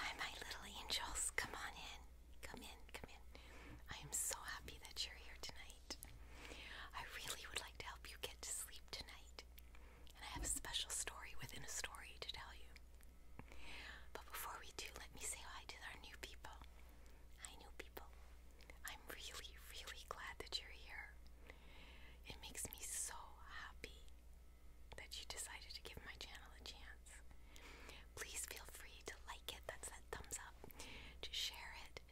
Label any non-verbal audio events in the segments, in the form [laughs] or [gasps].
Hi, my little angels. Come on in. Come in. Come in. I am so happy that you're here tonight. I really would like to help you get to sleep tonight. And I have a special story within a story to tell you. But before we do, let me say hi to our new people. Hi, new people. I'm really, really glad that you're here. It makes me so happy that you decided to give my channel a chance. Please feel free to like it, that's that thumbs up, to share it,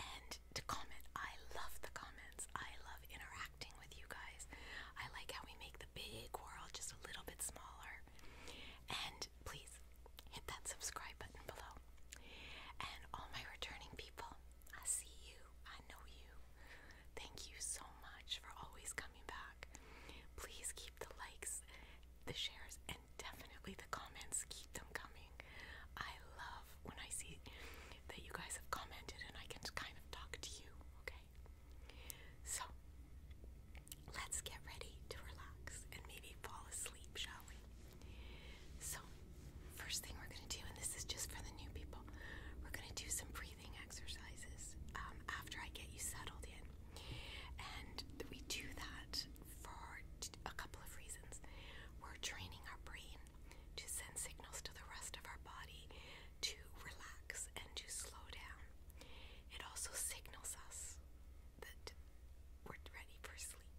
and to comment. I love the comments, I love interacting with you guys. I like how we make the big world just a little bit smaller. And please hit that subscribe button below. And all my returning people, I see you, I know you, Thank you so much for always coming back. Please keep the likes, the shares, and definitely the comments. Keep them coming. I love when I see that you guys have commented and I can kind of talk to you, okay? So, let's get ready to relax and maybe fall asleep, shall we? So, first thing we're going to do, and this is just for the new people, we're going to do some breathing exercises um, after I get you settled in. And we do that for a couple of reasons. We're training our brain to send signals to the rest of our body to relax and to slow down. It also signals us that we're ready for sleep.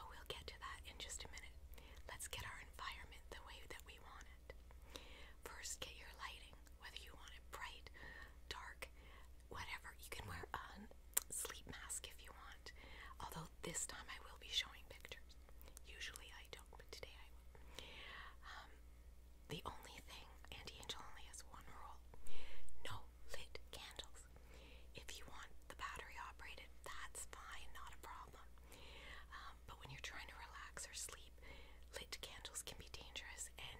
But we'll get to that in just a minute. Let's get our environment the way that we want First, get your lighting, whether you want it bright, dark, whatever. You can wear a sleep mask if you want, although this time I will be showing pictures. Usually I don't, but today I will. Um, the only thing, Auntie Angel only has one rule no lit candles. If you want the battery operated, that's fine, not a problem. Um, but when you're trying to relax or sleep, lit candles can be dangerous, and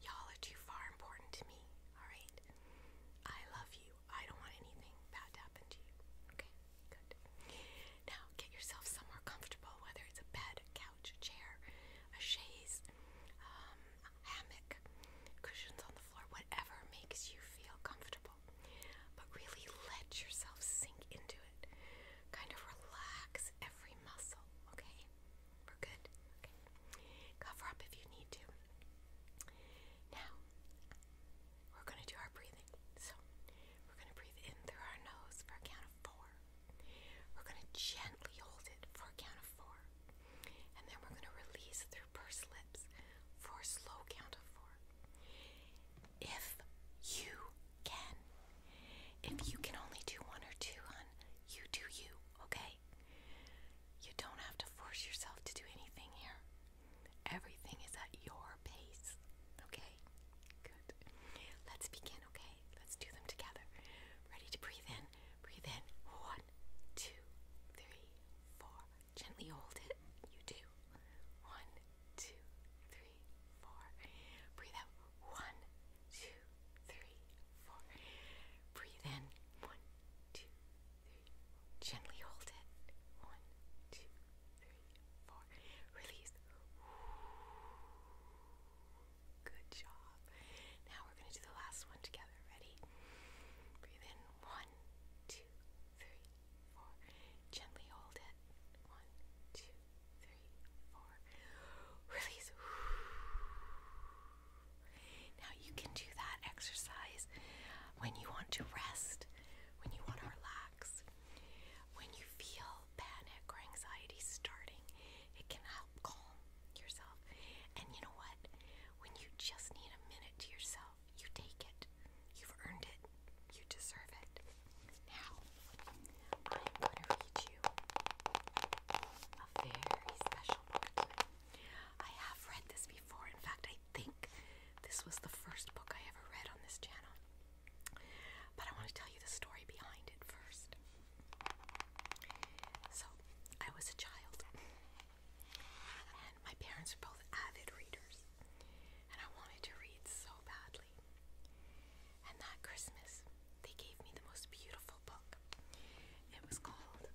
y'all are too far important to me, alright? I love you. I don't want anything bad to happen to you. Okay, good. Now get yourself somewhere comfortable, whether it's a bed, a couch, a chair, a chaise, um, a hammock, cushions on the floor, whatever makes you feel comfortable. But really let yourself sink into it. Kind of relax every muscle, okay? We're good. Cover up if you need to. Now, we're going to do our breathing. So, we're going to breathe in through our nose for a count of four. We're going to gently hold it for a count of four. And then we're going to release through pursed lips for slow count of four if you can. If you can only do one or two, hun, you do you, okay? You don't have to force yourself to do anything here. Everything is at your pace, okay? Good. Let's begin, okay? Let's do them together. Ready to breathe in? Breathe in. One, two, three, four. Gently hold it. You do. One, two, three, four. Breathe out. One, two, three, four. Breathe in. One, two, three. Gently hold it. One, two, three, four. Release. Good job. Now we're going to do the last one together. Ready? Breathe in. One, two, three, four. Gently hold it. One, now you can do that exercise when you want to rest, when you want to relax, when you feel panic or anxiety starting. It can help calm yourself. And you know what? When you just need a minute to yourself, you take it. You've earned it. You deserve it. Now, I'm going to read you a very special book. I have read this before. In fact, I think this was the first book I ever read on this channel. But I want to tell you the story behind it first. So, I was a child, and my parents were both avid readers and I wanted to read so badly. And that Christmas, they gave me the most beautiful book. It was called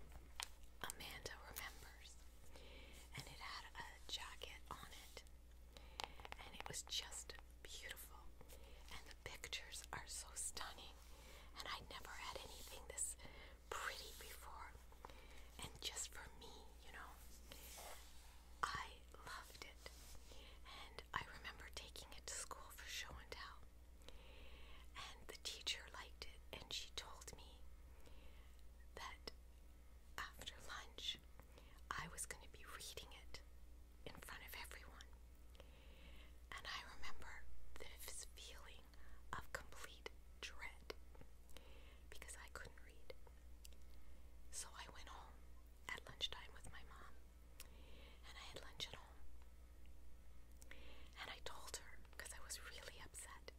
Amanda Remembers, and it had a jacket on it, and it was just beautiful. And the pictures are so stunning, and I never had anything this pretty before. And just for me, you know, I loved it. And I remember taking it to school for show and tell. And the teacher liked it, and she told me that after lunch I was going to be reading it in front of everyone. And I remember this feeling of complete dread because I couldn't read. So I went home at lunchtime with my mom, and I had lunch at home. And I told her because I was really upset,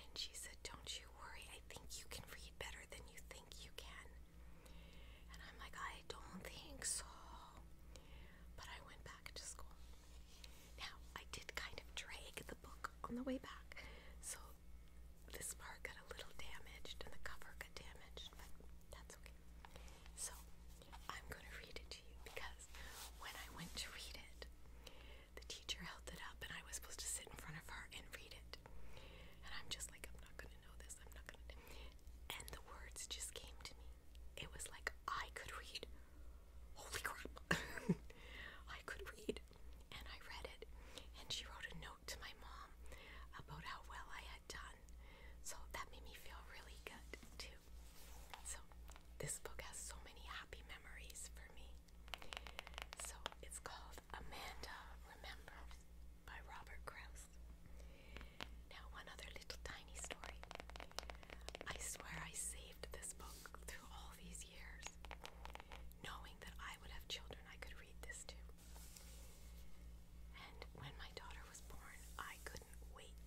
and she said, Don't you worry, I think you can read better than you think you can. And I'm like, I don't think so. But I went back to school. Now, I did kind of drag the book on the way back, so this part got a little damaged and the cover got damaged that's okay. So, I'm gonna read it to you because when I went to read it, the teacher held it up and I was supposed to sit in front of her and read it. And I'm just like, I'm not gonna know this, I'm not gonna And the words just came to me. It was like I could read. Holy crap! [laughs] I could read. And I read it. And she wrote a note to my mom about how well I had done. So that made me feel really good too. So this book has so many happy memories for me. So it's called Amanda Remember by Robert Krause. Now, one other little tiny story. I swear I saved this book through all these years, knowing that I would have children I could read this to. And when my daughter was born, I couldn't wait.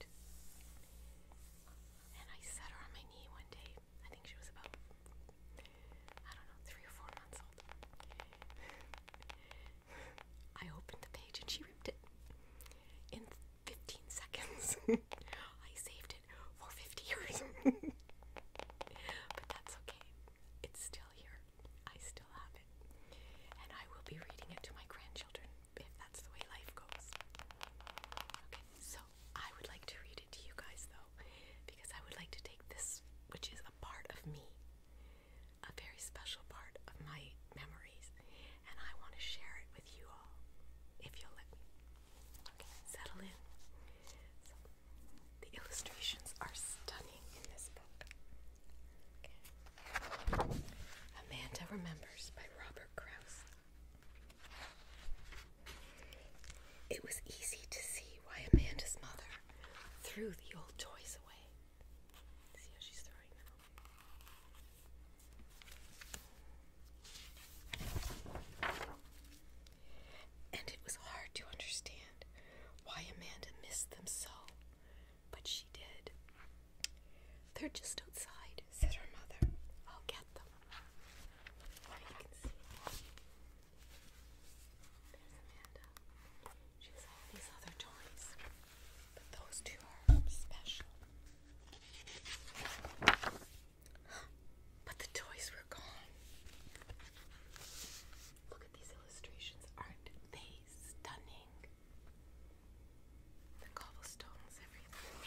And I set her on my knee one day. I think she was about, I don't know, three or four months old. I opened the page and she ripped it in 15 seconds. [laughs] I saved it for 50 years. [laughs] but that's okay. It's still here. I still have it. And I will be reading it to my grandchildren if that's the way life goes. Okay, so I would like to read it to you guys though, because I would like to take this, which is a part of me, a very special part of my memories, and I want to share it with you all, if you'll let me. Okay, settle in. The illustrations are stunning in this book. Amanda Remembers by Robert Krause. It was easy to see why Amanda's mother threw the old toys away. See how she's throwing them And it was hard to understand why Amanda missed them so, but she did. They're just outside, said her mother. I'll get them. you can see. There's Amanda. She all these other toys, but those two are special. [gasps] But the toys were gone. Look at these illustrations. Aren't they stunning? The cobblestones, everything.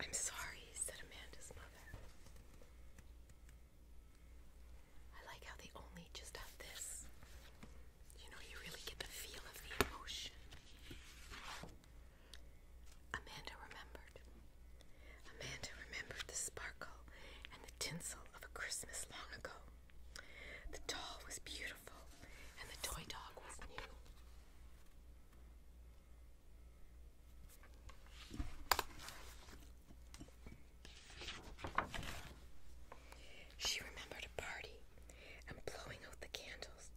I'm sorry, said Amanda's mother. I like how they only just have this. You know, you really get the feel of the emotion. Amanda remembered. Amanda remembered the sparkle and the tinsel of a Christmas long ago. The doll was beautiful, and the toy dog was new. She remembered a party and blowing out the candles,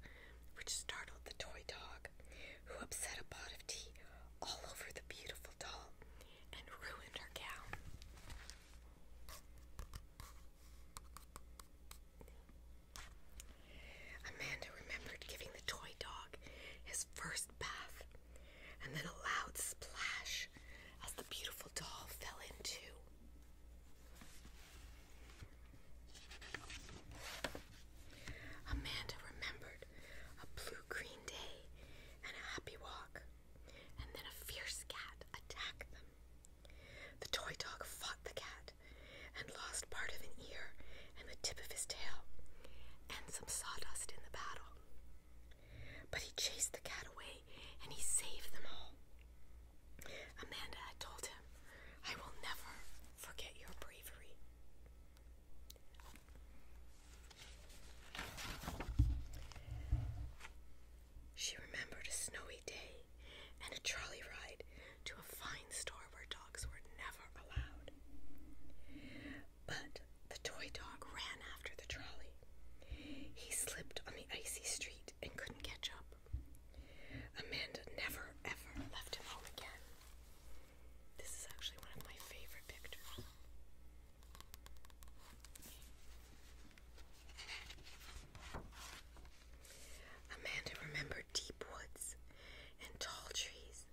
which startled the toy dog, who upset a pot of tea all over the beautiful doll and ruined her gown. Amanda remembered giving the toy dog his first bath and then a loud splash as the beautiful doll fell into. Amanda remembered a blue-green day and a happy walk, and then a fierce cat attacked them. The toy dog fought the cat and lost part of an ear and the tip of his tail and some sawdust in the battle. But he chased the cat away and he saved them all. Amanda had told him, I will never Forget your bravery. She remembered a snowy day and a trolley ride to a fine store where dogs were never allowed. But the toy dog ran after the trolley. He slipped on the icy street and couldn't catch up. Amanda never ever left him home again. This is actually one of my favorite pictures. Amanda remembered deep woods and tall trees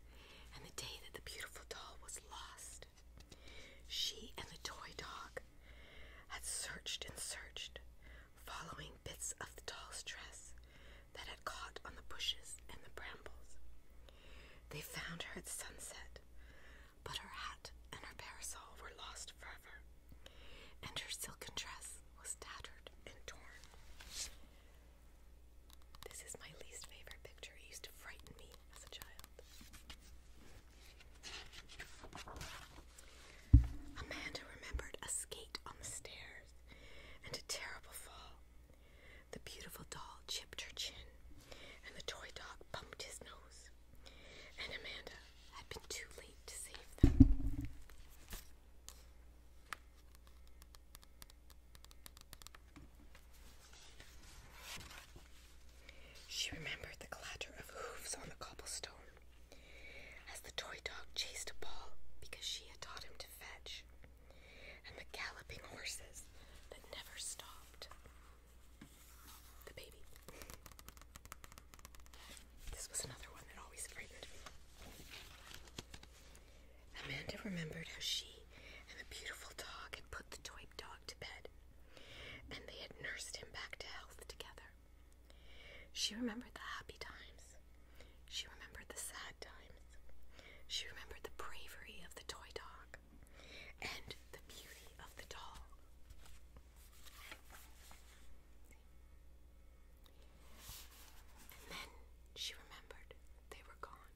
and the day that the beautiful doll was lost. She and the toy dog had searched and searched, following catching bits of the doll's dress that had caught on the bushes and the brambles. They found her at sunset, but her hat and her parasol were lost forever, and her silken dress was tattered and torn. This is my least favorite picture. used to frighten me as a child. Amanda remembered a skate on the stair and a terrible fall. The beautiful doll chipped her chin, and the toy dog bumped his nose, and Amanda had been too late to save them. She remembered the clatter of hooves on the cobblestone as the toy dog chased a ball because she had taught him to fetch and the galloping horses that never stopped. The baby. This was another one that always frightened Amanda remembered how she and the beautiful dog had put the toy dog to bed, and they had nursed him back to health together. She remembered the happy times, she remembered the sad times. She remembered the bravery of the toy dog and the beauty of the doll. And then she remembered they were gone.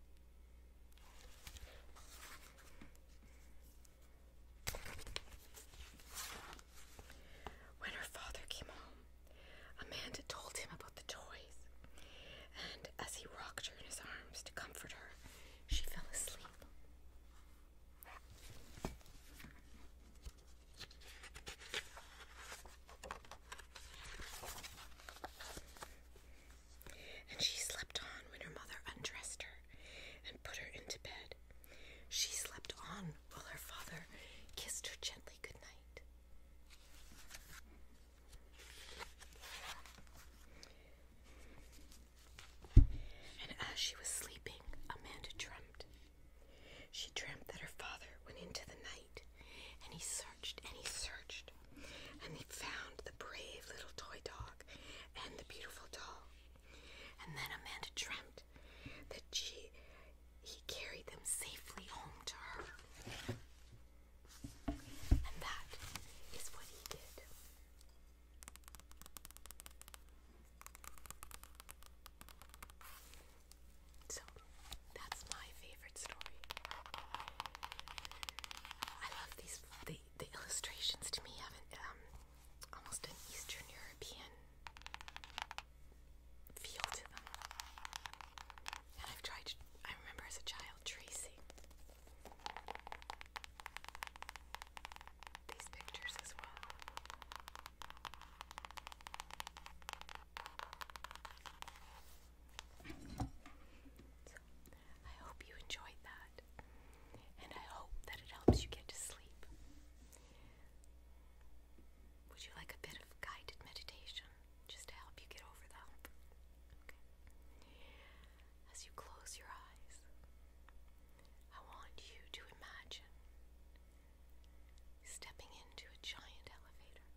When her father came home, Amanda told him about the toys, and as he rocked her in his arms to comfort her, she fell asleep. And she slept on when her mother undressed her and put her into bed. She slept on while her father kissed her gently good night. And as she was sleeping, Amanda dreamt. She dreamt that her father went into the night and he searched and he searched and he found the brave little toy dog and the beautiful doll. And then Amanda dreamt that she he carried them safely home to her. And that is what he did. So, that's my favorite story. I love these, the, the illustrations to me have um, almost an Eastern European feel to them. And I've tried, I remember as a child tracing these pictures as well. So, I hope you enjoyed that, and I hope that it helps you get to sleep. Would you like a bit of guided meditation? just to help you get over the hump. Okay. As you close your eyes, I want you to imagine stepping into a giant elevator.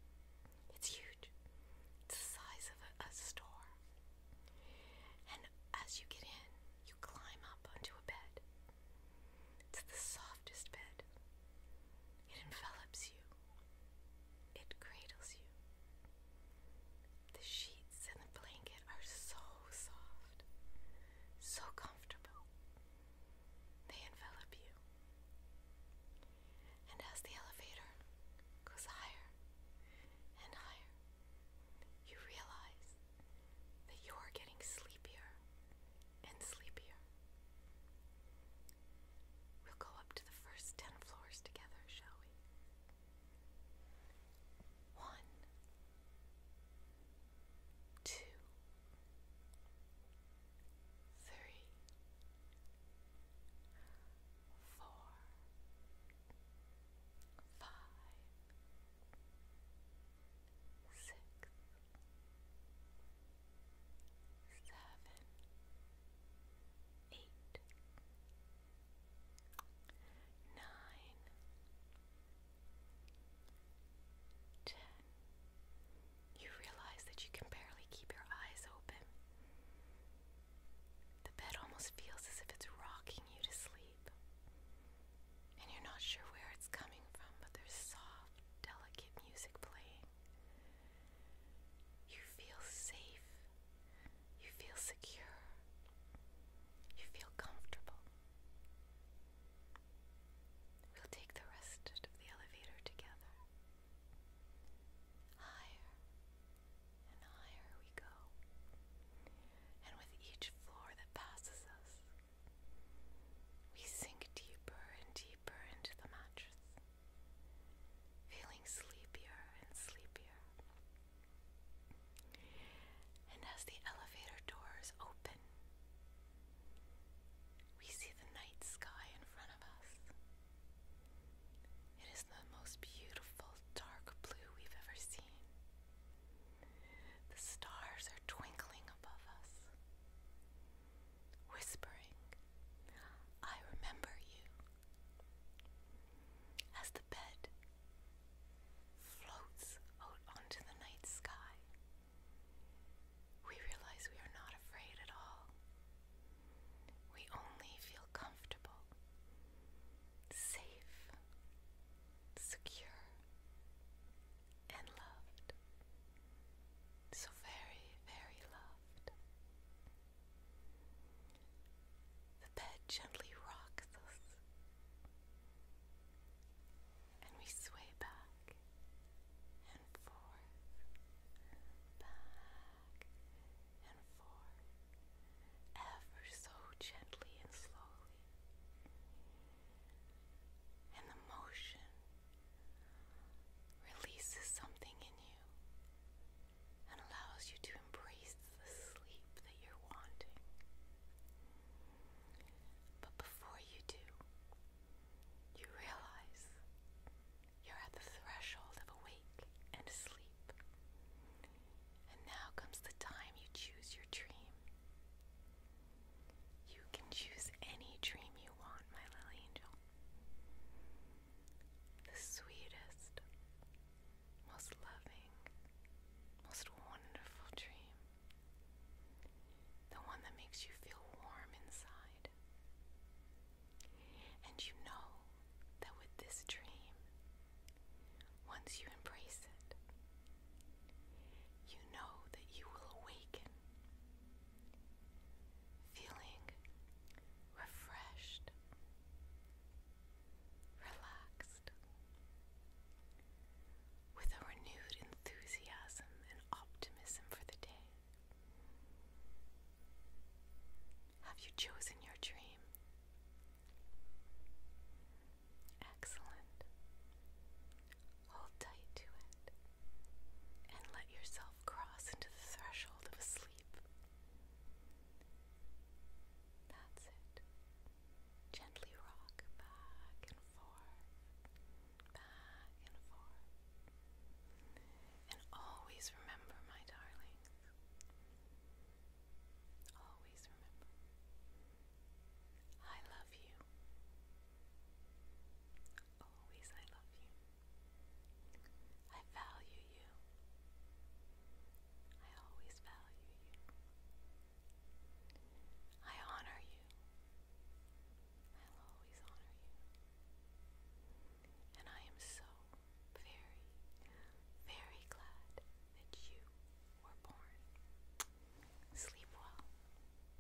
It's huge, it's the size of a, a store. And as you get in, you climb up onto a bed. It's the softest bed. It envelops you, it cradles you. The sheets and the blanket are so soft, so comfortable. They envelop you. And as the elevator goes higher and higher, you realize that you are getting sleepier and sleepier. We'll go up to the first ten floors together, shall we? One, two, three, four, five, six seven, eight, nine, ten. You realize that you can barely keep your eyes open. The bed almost feels as if it's rocking you to sleep. And you're not sure where it's coming from, but there's soft, delicate music playing. You feel safe. You feel secure. You feel comfortable. We'll take the rest of the elevator together. Higher and higher we go. And with each floor that passes us, we sink deeper and deeper into the mattress, feeling sleepier and sleepier. And as the elevator doors open, we see the night sky in front of us. It is the most beautiful dark blue we've ever seen. The stars are twinkling above us whispering, I remember you. As the bed floats out onto the night sky, we realize we are not afraid at all. We only feel comfortable, safe, secure, and loved. So very, very loved. The bed gently rocks us, and we sway back and forth, back and forth, ever so gently and slowly. And the motion releases something in you and allows you to embrace the sleep that you're wanting. But before you do, you realize you're at the threshold of awake and asleep. And now comes the time you choose your dream. You can choose any dream you want, my little angel. The sweetest, most loving, most wonderful dream. The one that makes you feel warm inside. And you know that with this dream, once you embrace it, you know that you will awaken feeling refreshed, relaxed, with a renewed enthusiasm and optimism for the day. Have you chosen your dream? Excellent. Hold tight to it and let yourself cross into the threshold of sleep. That's it. Gently rock back and forth, back and forth. And always remember, my darlings, always remember, I love you. Always I love you. I value you. I always value you. I honor you. I'll always honor you. And I am so very, very glad that you were born. Sleep well.